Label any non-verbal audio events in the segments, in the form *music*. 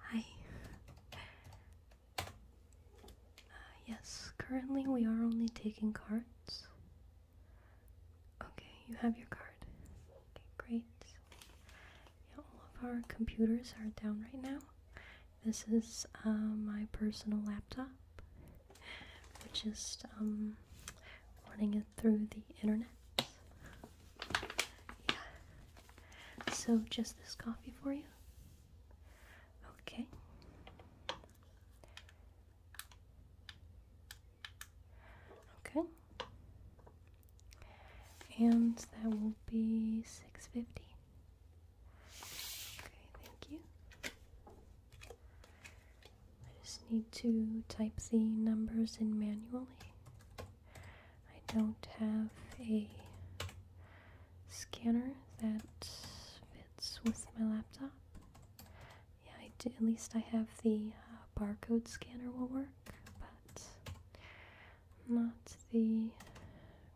Hi. Uh, yes, currently we are only taking cards. Okay, you have your card. Okay, great. all of our computers are down right now. This is uh, my personal laptop. We're just um, running it through the internet. Yeah. So just this coffee for you? Okay. Okay. And that will be 650. Okay, thank you. I just need to type the numbers in manually. I don't have a scanner that fits with my laptop. Yeah, at least I have the uh, barcode scanner will work, but not the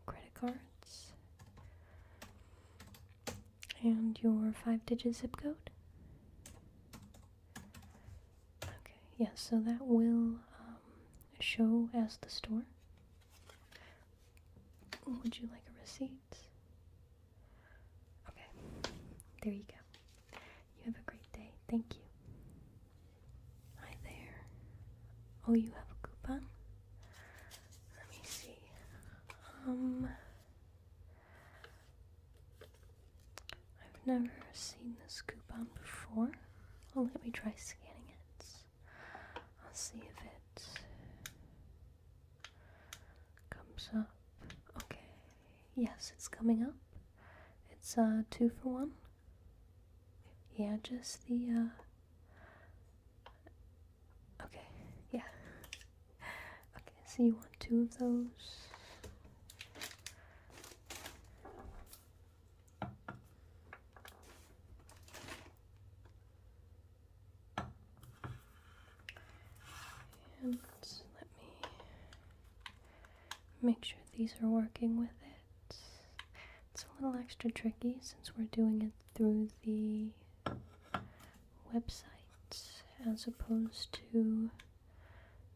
credit cards. And your five digit zip code? Okay, yes, yeah, so that will um, show as the store. Would you like a receipt? Okay, there you go. You have a great day. Thank you. Hi there. Oh, you have a coupon? Let me see. Um, I've never seen this coupon before. Well, let me try scanning it. I'll see if it comes up. Okay, yes, it's coming up. It's a uh, two for one. Yeah, just the uh, Okay, yeah. Okay, so you want two of those. And let me make sure these are working with it. It's a little extra tricky since we're doing it through the websites as opposed to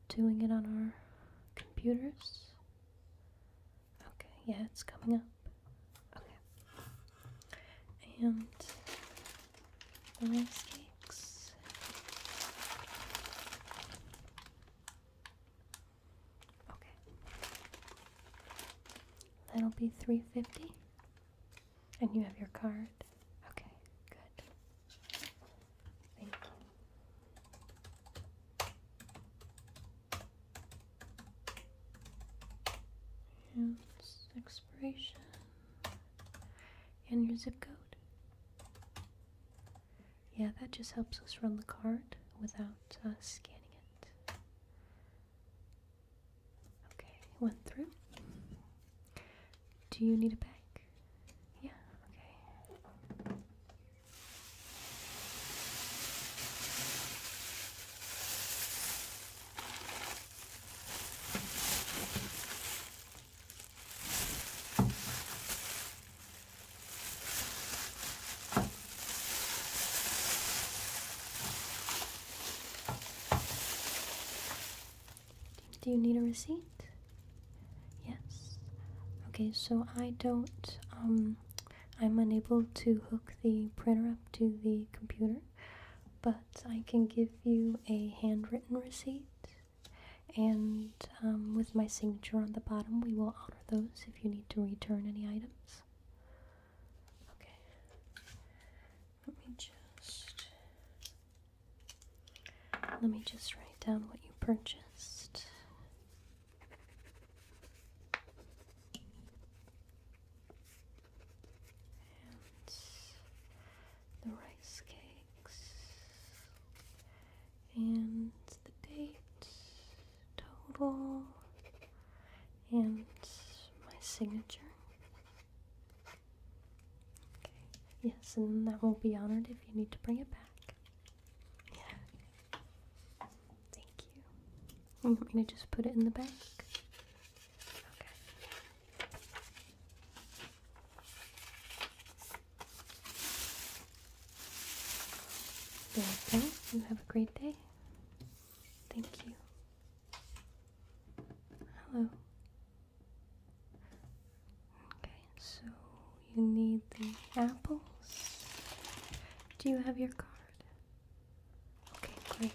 doing it on our computers. Okay, yeah, it's coming up. Okay. And the rice Okay. That'll be 350. And you have your card? Okay, good. Thank you. And expiration. And your zip code. Yeah, that just helps us run the card without uh, scanning it. Okay, went through. Do you need a bag? Yeah, okay. Do you need a receipt? Yes. Okay, so I don't, um, I'm unable to hook the printer up to the computer, but I can give you a handwritten receipt, and um, with my signature on the bottom, we will honor those if you need to return any items. Okay. Let me just let me just write down what you purchased. And the rice cakes and the date total and my signature. Okay. Yes, and that will be honored if you need to bring it back. Yeah. Thank you. You want me to just put it in the bag? Okay. There You have a great day. Thank you. Hello. Okay, so you need the apples. Do you have your card? Okay, great. Okay.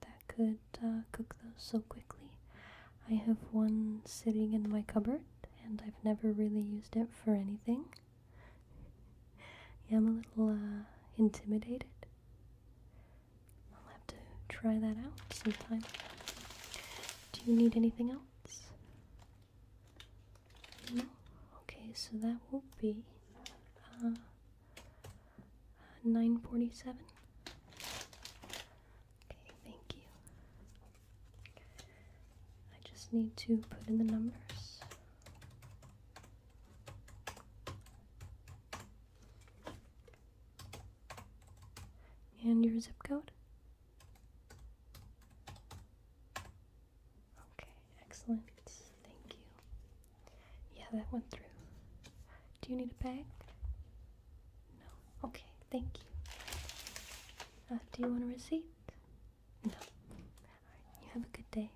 that that could uh, cook those so quickly. I have one sitting in my cupboard and I've never really used it for anything. *laughs* yeah, I'm a little uh, intimidated. I'll have to try that out sometime. Do you need anything else? No? Okay, so that will be. Uh, 947. Okay, thank you. I just need to put in the numbers. And your zip code? Okay excellent. Thank you. Yeah, that went through. Do you need a bag? No. Okay, thank you. Uh, do you want a receipt? No. Alright, you have a good day.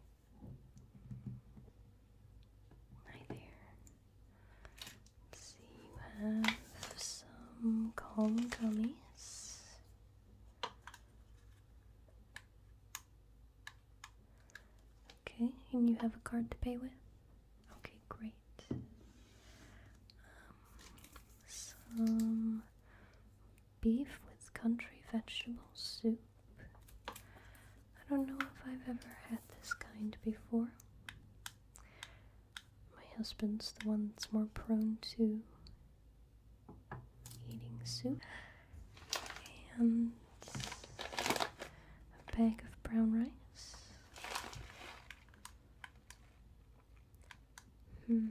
Right there. see, you have some calm gummies. Okay, and you have a card to pay with? Okay, great. Um, some beef with country vegetable soup. I don't know if I've ever had this kind before. My husband's the one that's more prone to eating soup and a bag of brown rice. Hmm.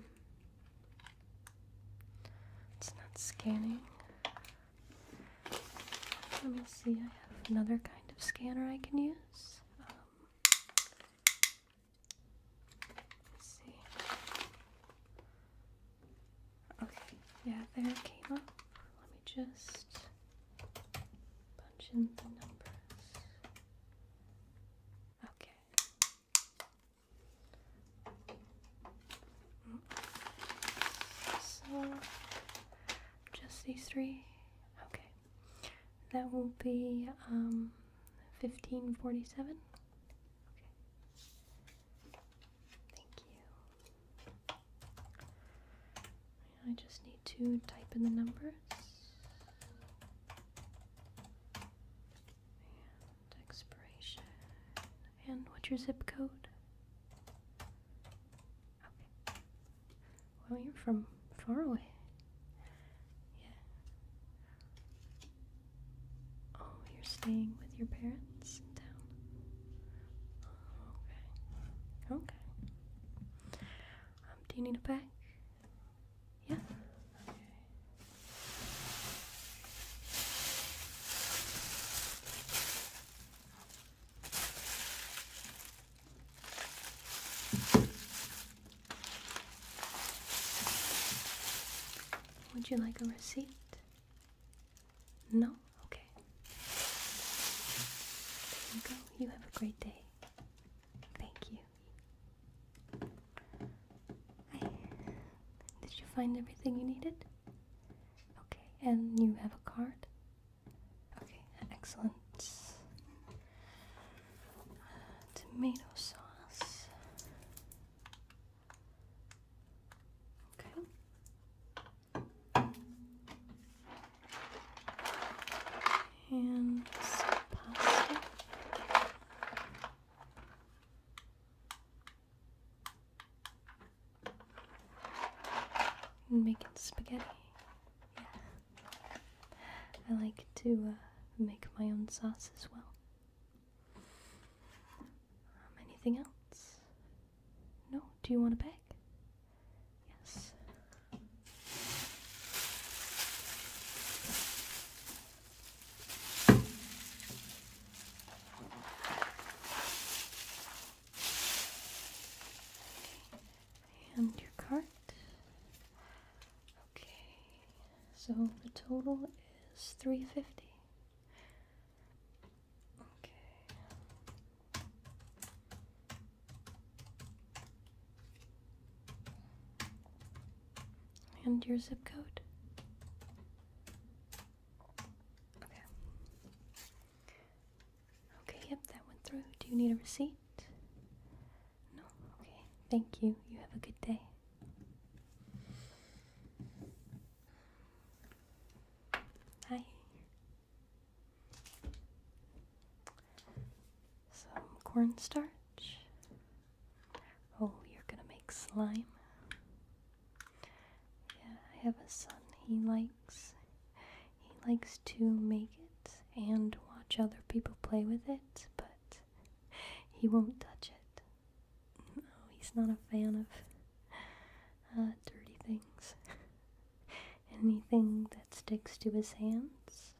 It's not scanning. Let me see, I have another kind of scanner I can use. Um, let's see. Okay, yeah, there it came up. Let me just punch in the numbers. Okay. So, just these three. Okay. That will be um, 1547. Okay. Thank you. I just need to type in the numbers. And expiration. And what's your zip code? Okay. Well, you're from far away. Yeah. Oh, you're staying with your parents in oh, Okay. Okay. Um, do you need a bag? Yeah? Okay. Would you like a receipt? No? Okay. There you go. You have a great day. Thank you. Hi. Did you find everything you needed? Okay. And you have a card? Okay. Excellent. Tomato sauce. Okay. And some pasta. Making spaghetti. Yeah. I like to uh, make my own sauce as well. Um, anything else? No? Do you want a bag? Yes. And your cart. Okay, so the total is three fifty. Okay. And your zip code? Okay. Okay, yep, that went through. Do you need a receipt? No? Okay. Thank you. You have a good day. Hi. Some cornstarch. Oh, you're gonna make slime. Yeah, I have a son. He likes he likes to make it and watch other people play with it, but he won't touch it. No, he's not a fan of uh, dirty things. *laughs* Anything that sticks to his hands,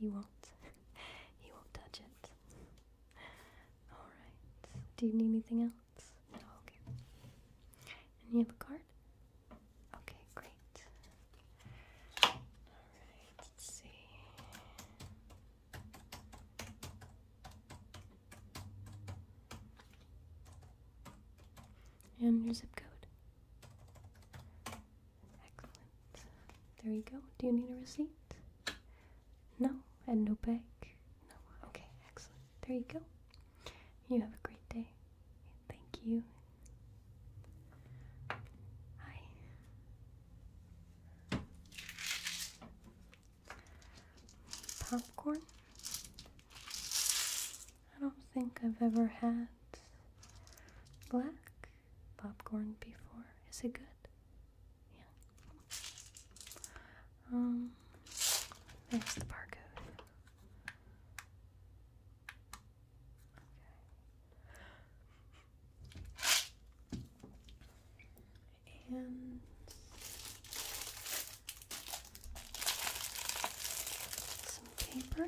he won't. *laughs* he won't touch it. All right. Do you need anything else? No. Okay. And you have a card. Okay, great. All right. Let's see and your zip code. Excellent. There you go. Do you need a receipt? No, and no bag. No. Okay, excellent. There you go. You have a great day. Thank you. Hi popcorn. I don't think I've ever had black popcorn before. Is it good? Yeah. Um, there's the barcode. Okay and some paper.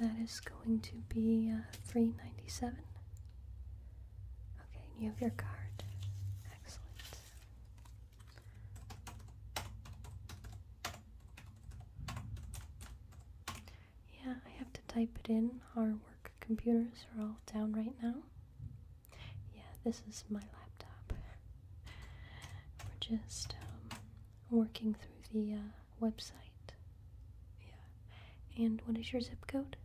That is going to be uh, three ninety seven. Okay, you have your card. Excellent. Yeah, I have to type it in. Our work computers are all down right now. Yeah, this is my laptop. We're just um, working through the uh, website. Yeah. And what is your zip code?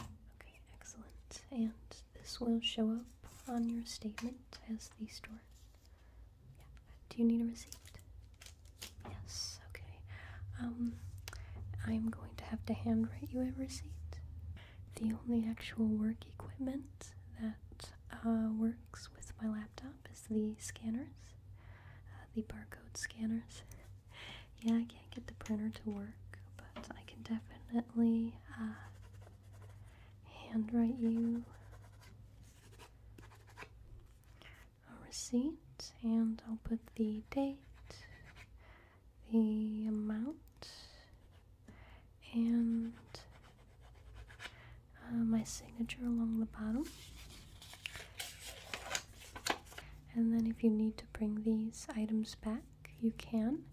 Okay, excellent. And this will show up on your statement as the store. Do you need a receipt? Yes. Okay. Um, I'm going to have to handwrite you a receipt. The only actual work equipment that uh, works with my laptop is the scanners, uh, the barcode scanners. *laughs* yeah, I can't get the printer to work, but I can definitely uh, handwrite you a receipt and I'll put the date, the amount, and uh, my signature along the bottom. And then, if you need to bring these items back, you can.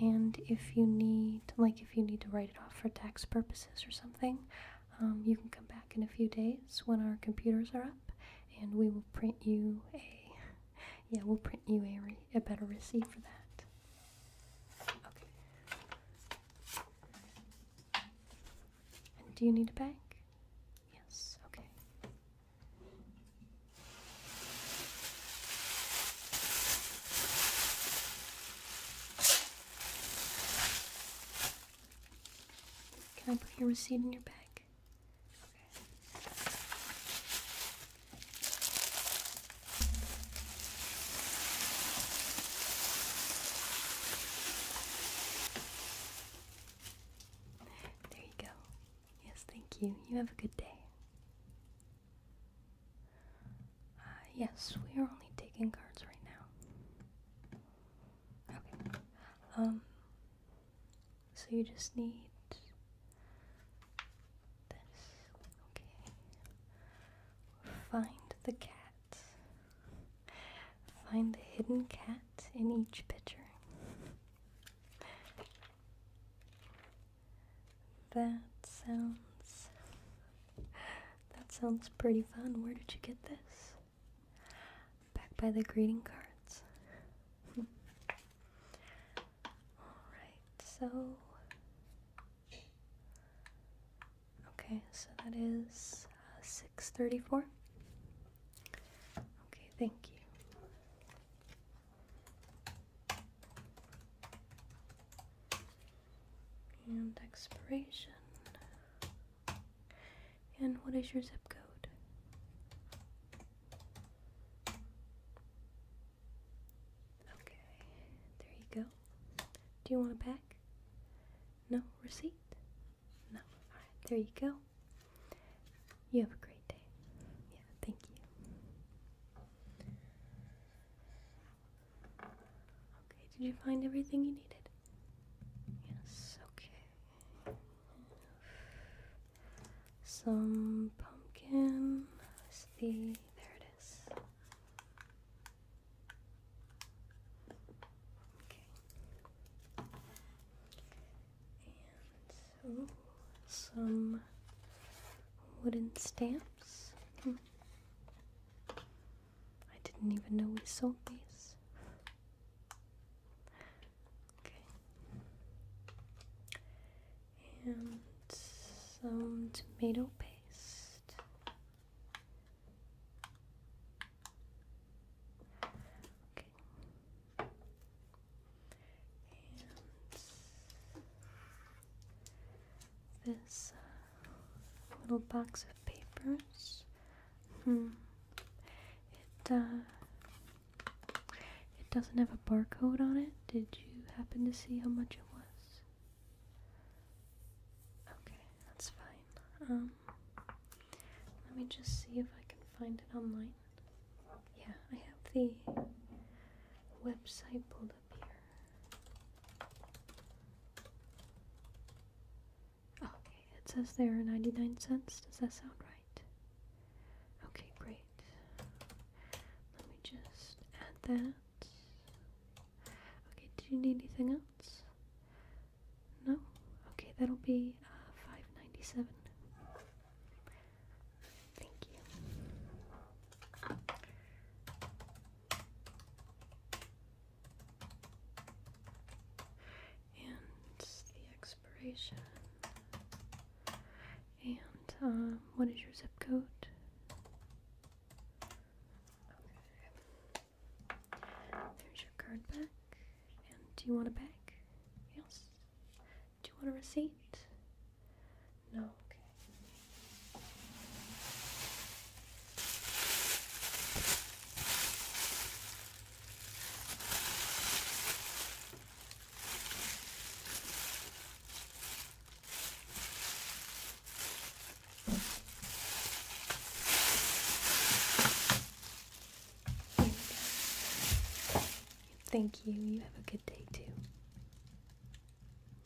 And if you need, like, if you need to write off for tax purposes or something, um, you can come back in a few days when our computers are up and we will print you a *laughs* yeah we'll print you a, a better receipt for that okay and do you need a bag yes okay can I put your receipt in your bag? Okay. There you go. Yes, thank you. You have a good day. Uh, yes, we are only taking cards right now. Okay. Um. So you just need this. Okay. Find the cat. Find the hidden cat in each picture. That sounds. That sounds pretty fun. Where did you get this? Back by the greeting cards. Alright, so. Okay, so that is uh, 634. Okay, thank you and expiration. And what is your zip code? Okay, there you go. Do you want a pack? No? Receipt? No. Alright, there you go. You have a great day. Yeah, thank you. Okay, did you find everything you needed? Yes, okay. Some pumpkin. There it is. Okay. And some wooden stamp. I didn't even know we sold these. Okay. And some tomato paste. Okay. And this uh, little box of papers. Hmm. It uh, it doesn't have a barcode on it. Did you happen to see how much it was? Okay, that's fine. Um, let me just see if I can find it online. Yeah, I have the website pulled Okay, it says there 99 cents. Does that sound right? Okay, great. Let me just add that. Okay, did you need anything else? No? Okay, that'll be uh, 597. Thank you. And the expiration. And um, what is your zip code? Okay. There's your card back. And do you want a bag? Yes. Do you want a receipt? No, okay. Thank you. You have a good day too.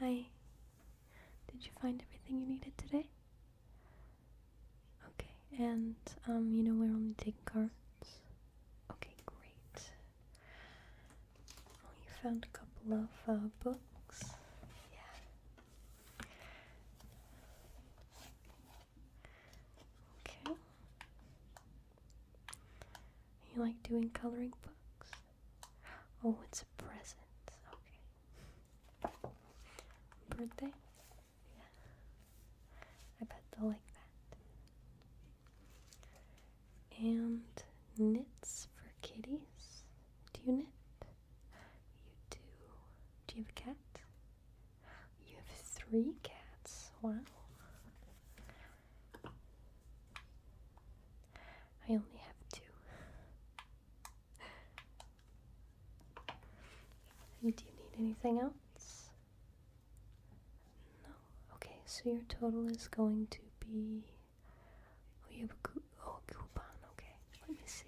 Hi. Did you find everything you needed today? Okay, and, um, you know we're only taking cards? Okay, great. Well, oh, you found a couple of, uh, books. Yeah. Okay. You like doing coloring books? Oh, it's a present. Okay. Birthday? Yeah. I bet they'll like that. And knits for kitties. Do you knit? You do. Do you have a cat? You have three cats. Wow. I only have two. Do you need anything else? No. Okay, so your total is going to be. Oh, you have a, coup oh, a coupon. Okay, let me see.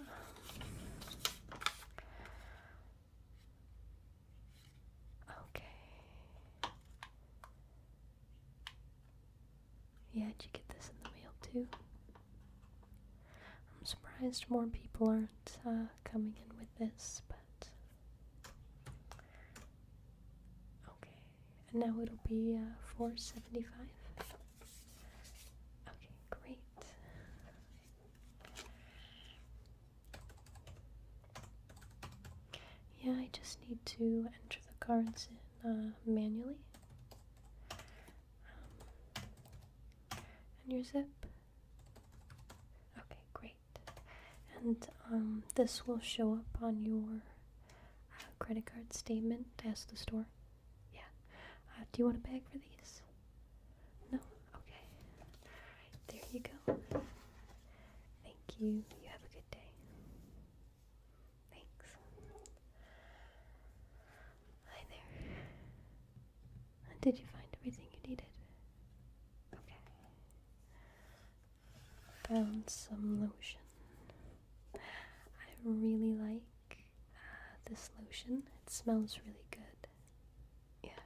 Um, okay. Yeah, did you get this in the mail too? I'm surprised more people aren't uh, coming in with this, but. Okay, and now it'll be uh, 475 Okay, great. Yeah, I just need to enter the cards in uh, manually. and your zip. Okay, great. And um, this will show up on your uh, credit card statement Ask the store. Yeah. Uh, do you want a bag for these? No? Okay. there you go. Thank you. You have a good day. Thanks. Hi there. did you find everything you needed? Okay. Found some lotion. I really like uh, this lotion. It smells really good. Yeah.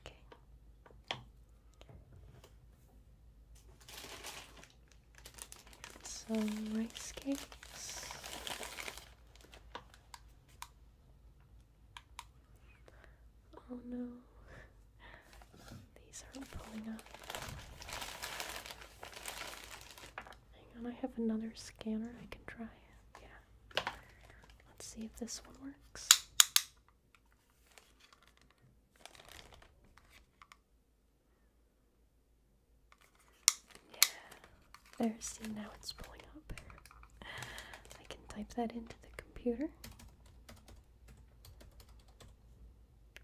Okay. Some rice cakes. Oh no, these aren't pulling up. Hang on, I have another scanner I can try. Yeah. Let's see if this one works. Yeah, there, see now it's pulling up. I can type that into the computer.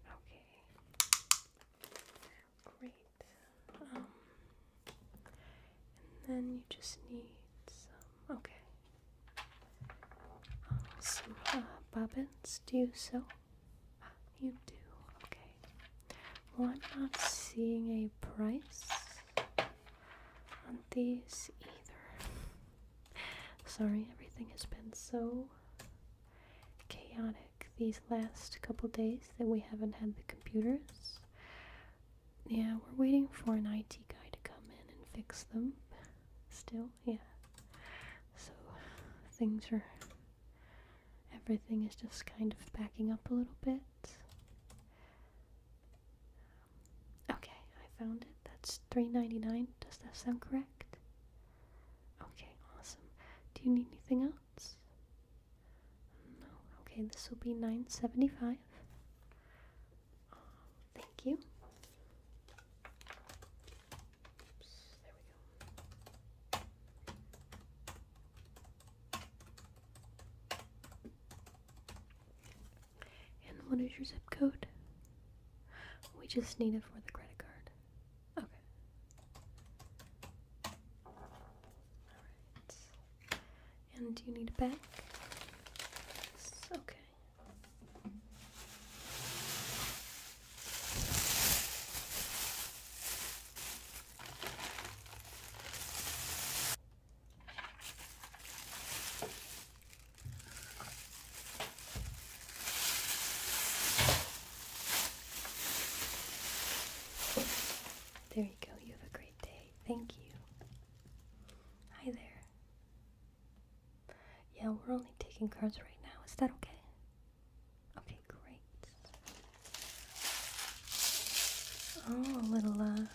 Okay, great. Um, and then you just need some Okay. Uh, bobbins. Do you sew? you do. Okay. Well, I'm not seeing a price on these either. Sorry, everything has been so chaotic these last couple days that we haven't had the computers. Yeah, we're waiting for an IT guy to come in and fix them. Still, yeah. So things are. Everything is just kind of backing up a little bit. Okay, I found it. That's three ninety nine. Does that sound correct? Okay, awesome. Do you need anything else? No. Okay, this will be nine seventy five. Thank you. there we go. And what is your zip code? We just need it for the credit card. Okay. Alright. And do you need a bag? okay. There you go. You have a great day. Thank you. Hi there. Yeah, we're only taking cards right now. Is that okay? Okay, great. Oh, a little, uh,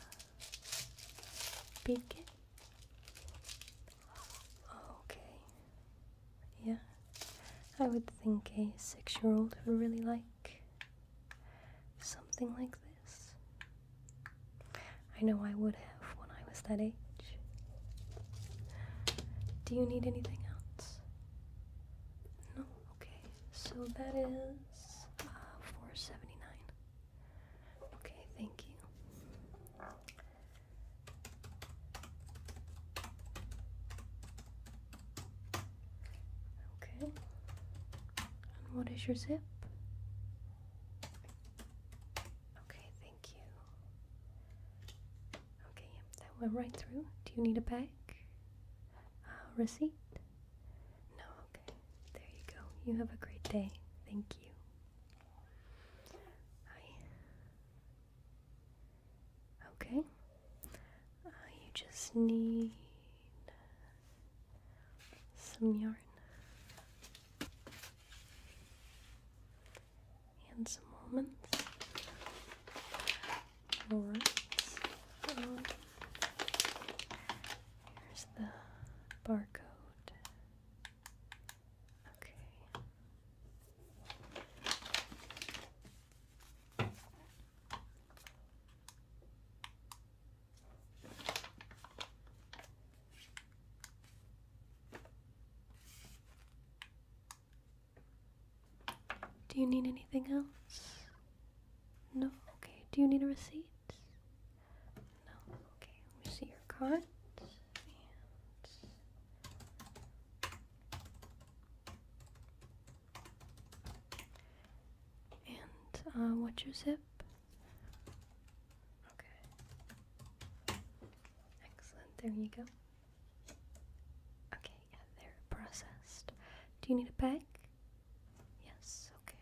beacon. Okay. Yeah. I would think a six year old would really like something like this this. I know I would have when I was that age. Do you need anything else? No? Okay. So that is uh, 479 Okay, thank you. Okay. And what is your zip? Okay, thank you. Okay, yep, that went right through. Do you need a bag? Uh, receipt? No, okay. There you go. You have a great day. Thank you. Hi. Okay. Uh, you just need some yarn and some almonds. here's the barcode. Okay. Do you need anything else? No? Okay. Do you need a receipt? No? Okay. Let me see your card. And, uh, what's your zip? Okay. Excellent. There you go. Okay, yeah, they're processed. Do you need a bag? Yes, okay.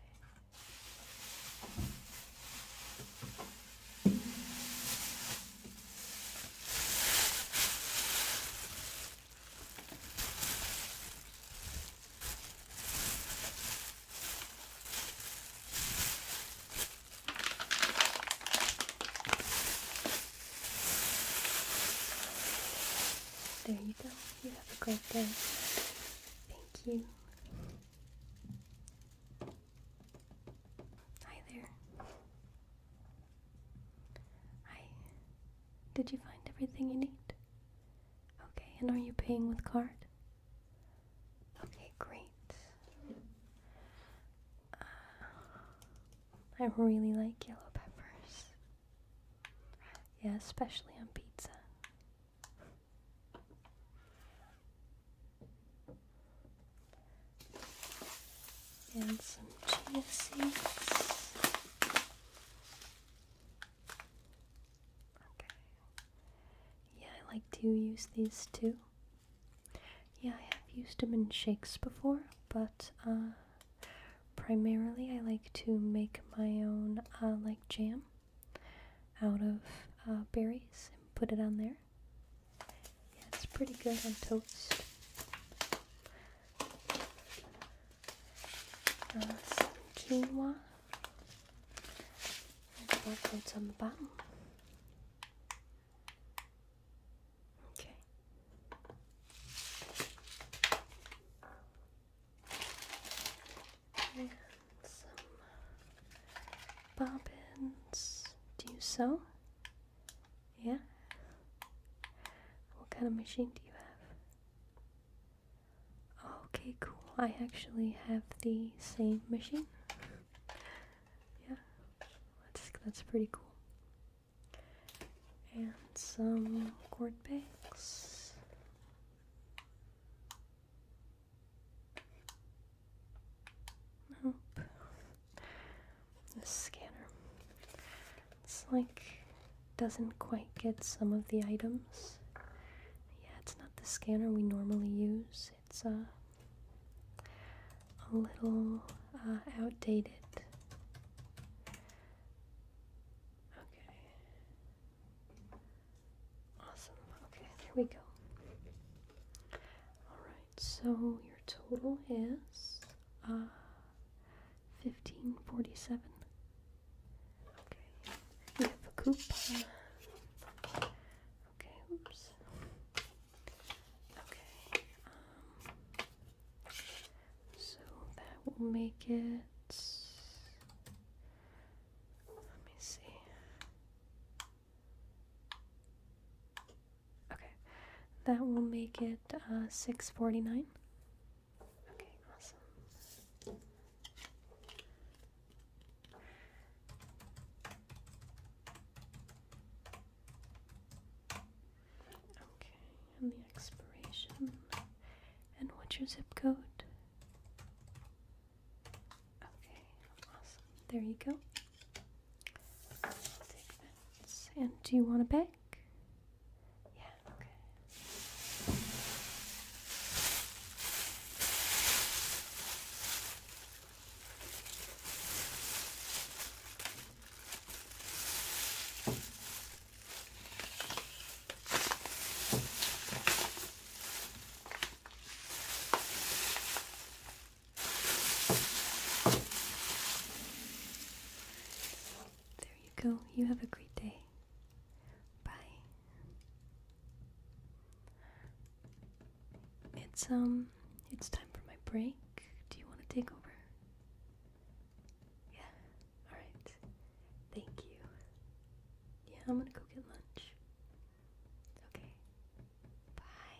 There you go. You have a great day. Thank you. Hi there. Hi. Did you find everything you need? Okay, and are you paying with card? Okay, great. Uh, I really like yellow peppers. Yeah, especially on pizza. And some chia seeds. Okay. Yeah, I like to use these too. Yeah, I have used them in shakes before, but uh, primarily I like to make my own uh, like jam out of uh, berries and put it on there. Yeah, it's pretty good on toast. Uh, and backwards on the bottom. Okay. some bobbins. Do you sew? Yeah. What kind of machine do you have? Okay, cool. I actually have the same machine. yeah, that's that's pretty cool. And some cord bags. Nope. This scanner. It's like doesn't quite get some of the items. Yeah, it's not the scanner we normally use. It's uh, a little uh, outdated. Okay. Awesome. Okay, there we go. Alright, so your total is uh, 1547. Okay, we have a coupon. Okay, oops. Okay, um, so that will make it. Let me see. Okay, that will make it uh, six forty nine. Okay, awesome. Okay, and the expiration. And what's your zip code? Okay, awesome. There you go. I'll And do you want a bag? Yeah, okay. There you go. You have a great day. Bye. It's um it's time for my break. Do you want to take over? Yeah. All right. Thank you. Yeah, I'm going to go get lunch. Okay. Bye.